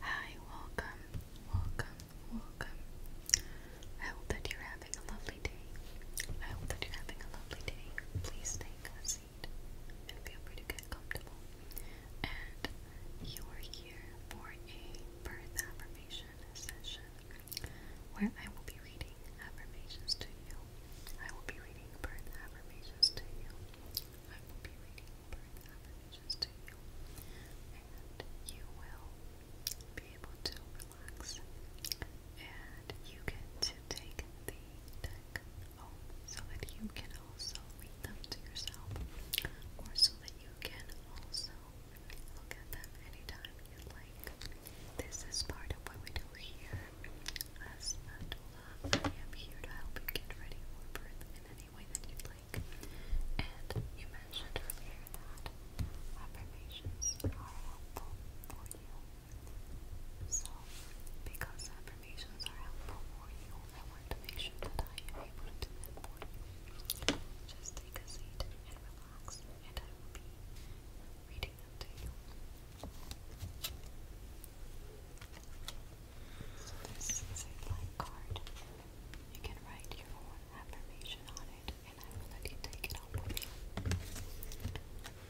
Hi, welcome, welcome, welcome. I hope that you're having a lovely day. I hope that you're having a lovely day. Please take a and feel free to get comfortable. And you are here for a birth affirmation session where I will be reading affirmations to you. I will be reading birth affirmations to you. I will be reading birth affirmations to you, and you will be able to relax. And you get to take the deck home so that you can also read them to yourself, or so that you can also look at them anytime you like. This is part of what we do here as a I am here to help you get ready for birth in an any And you mentioned earlier that affirmations are helpful for you. So, because affirmations are helpful for you, I to make sure to do Just take a seat and relax, and I will be reading them to you this is a blank card. You can write your own affirmation on it and I will let you take it home with you.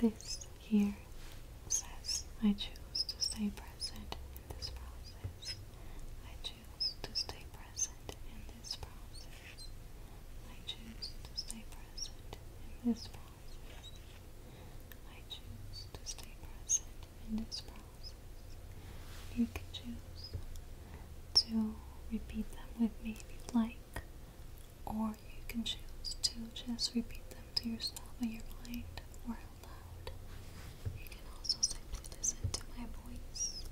This here says, I choose to stay present in this process. I choose to stay present in this process. I choose to stay present in this process. I choose to stay present in this process. You can choose to repeat them with me if you'd like, or you can choose to just repeat them to yourself in your mind or aloud. You can also simply listen to my voice,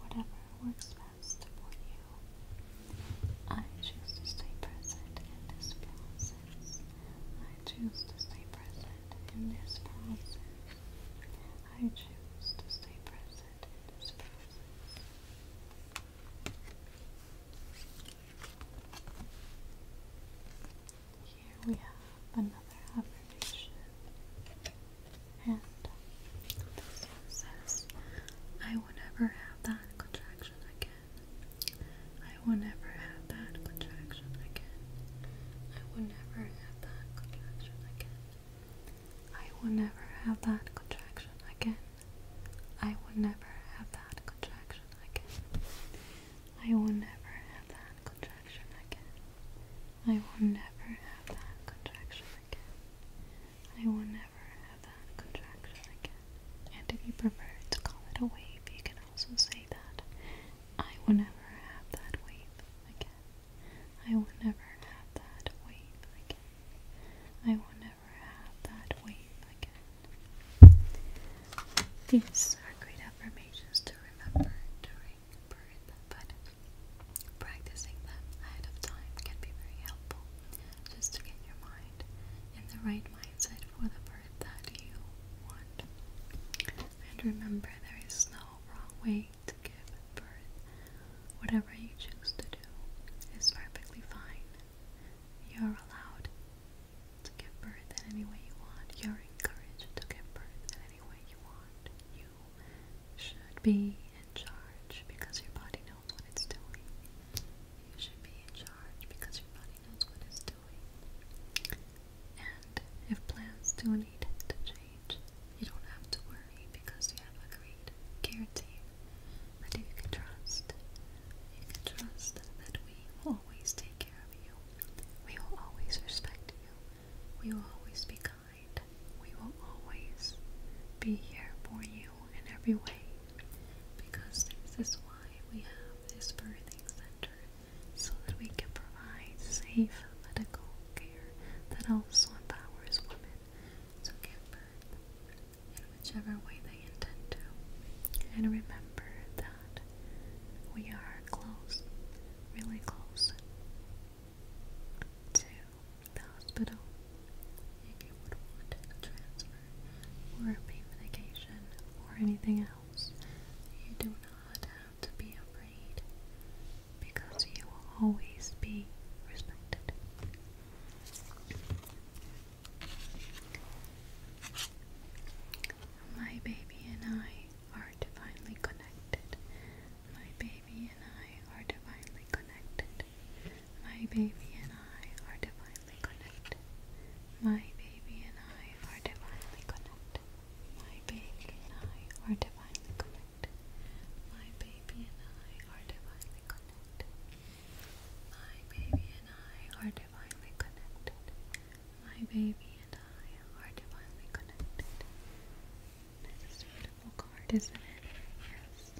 whatever works best for you. I choose to stay present in this process. I choose to stay present in this process. I choose to stay present in this process. Here we have another affirmation. And this says, I will never have that contraction again again. I will never have that contraction again. I will never have that contraction again. I will never have that contraction again. I will never have that contraction again. I will never have that contraction again. I will never have that contraction again. I will never that contraction again. And if you prefer to call it a wave, you can also say that I will never have that wave again. I will never have that wave again. I will never have that wave again. These are great affirmations to remember during but practicing them ahead of time can be very helpful just to get your mind in the right mindset for the bird that you want. And remember, there is no wrong way to give birth. Whatever you choose to do is perfectly fine. You're allowed to give birth in any way you want. You're encouraged to give birth in any way you want. You should be in charge because your body knows what it's doing. You should be in charge because your body knows what it's doing. And if plans do need to change, you don't have to worry because we have a great care that you can trust. You can trust that we will always take care of you. We will always respect you. We will always be kind. We will always be here for you in every way because this is why we have this birthing center so that we can provide safe medical care that also empowers women to give birth in whichever way they intend to. And remember that we are close, really close to the hospital if you would want a transfer or a medication or anything else. You do not have to be afraid because you will always be respected. My baby and I are divinely connected. My baby and I are divinely connected. My baby and I are divinely connected. My baby and I are divinely connected. My baby and I are divinely connected. My baby and I are divinely connected. My baby and I are divinely connected. My baby and I are divinely connected. This a beautiful card, isn't it? Yes.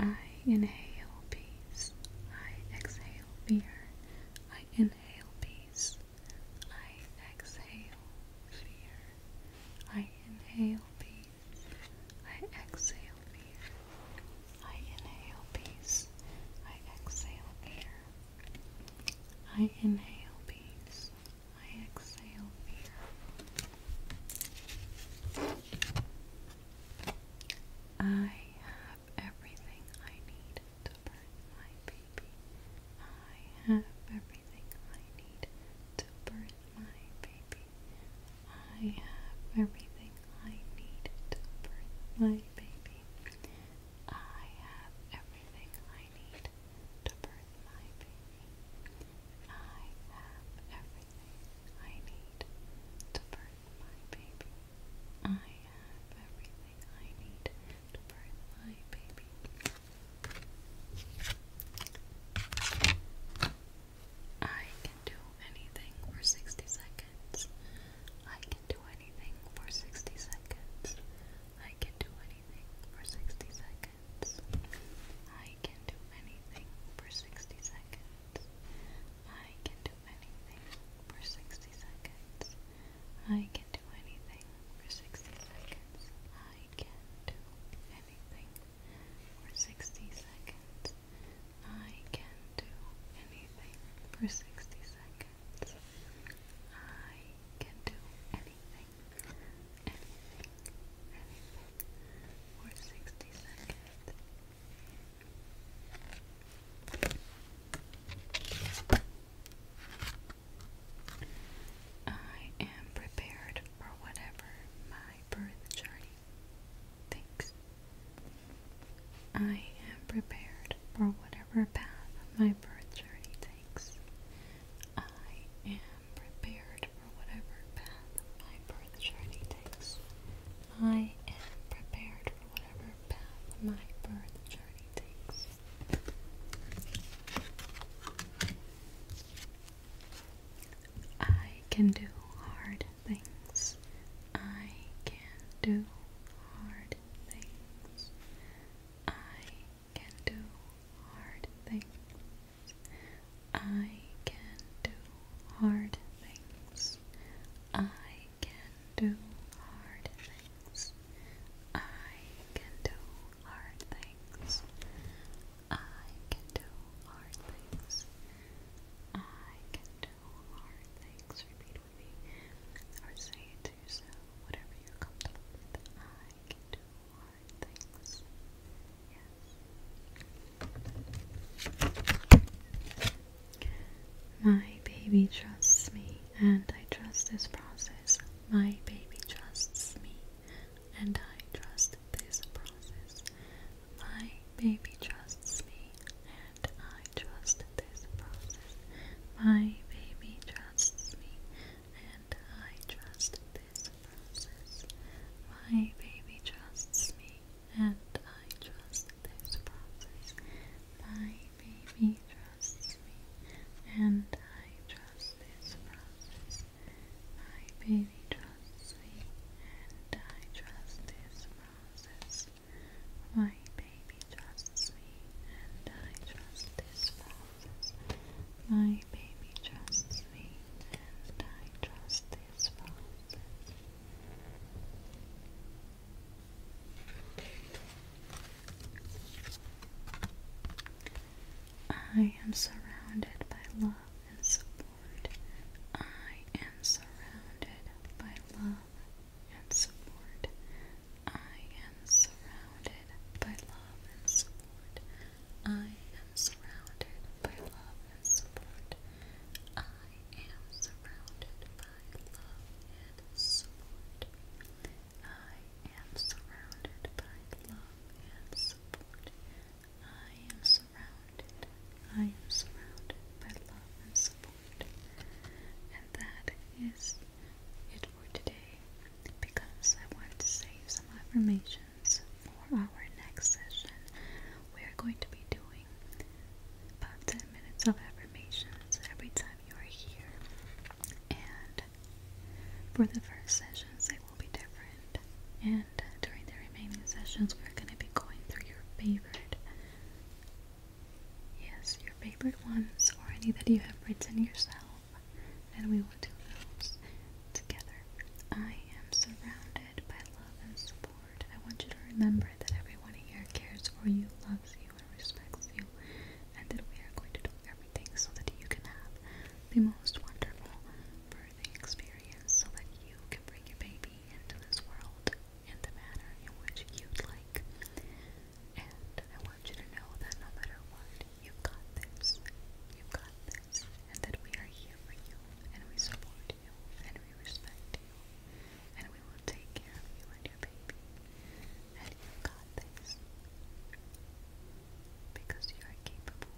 I inhale peace. I exhale fear. I inhale peace. I exhale fear. I inhale peace. I exhale fear. I inhale peace. I exhale fear. I inhale peace. I exhale fear. I have everything I need to birth my baby. I have everything I need to birth my baby. I have everything I need to birth my baby. I have everything I need to birth my baby. I have everything I need to birth my baby. I have everything I need to birth my baby. I can do anything for 60 seconds. I do anything for 60 seconds. I can do anything for 60 seconds. I can do anything for 60 seconds. I can do anything for 60 seconds. I can do anything for 60 seconds. I can do anything for 60 seconds. I can do anything, anything, anything for 60 seconds. I am prepared for whatever my birth journey thinks. I am prepared for whatever path my birth journey takes. I am prepared for whatever path my birth journey takes. I am prepared for whatever path my birth journey takes. I can do hard things. I can do hard things. I can do hard things. I can do hard things. I can do hard things. I can do hard things. I can do hard things. I can do hard things. Repeat movie or to yourself, whatever you're comfortable with. I can do hard things. Yes. My baby trusts me, and I trust this process. My baby trusts me, and I trust this process. My baby trusts me, and I trust this process. My baby trusts me, and I trust this process. My baby trusts me, and I trust this process. My baby trusts me, and I trust this process. My baby trusts me, and I trust this process. My baby trusts me, and I trust this process. My baby trusts me, and I trust this process. I am surrounded by love and support. I am surrounded by love and support. I am surrounded by love and support. I am surrounded by love and support. I am surrounded by love and support. I am surrounded by love and support. I am surrounded, I am surrounded by love and support. And that is it for today because I want to save some affirmations for our next session. We are going to be doing about 10 minutes of affirmations every time you are here. And for the first sessions, they will be different. And during the remaining sessions, we're going to be going through your favorite. Yes, your favorite ones or any that you have written yourself. And we will do those together. I am surrounded by love and support. I want you to remember that everyone here cares for you, loves you, and respects you. And that we are going to do everything so that you can have the most wonderful, the experience so that you can bring your baby into this world in the manner in which you'd like. And I want you to know that no matter what, you've got this. You've got this. And that we are here for you. And we support you. And we respect you. And we will take care of you and your baby. And you've got this. Because you are capable.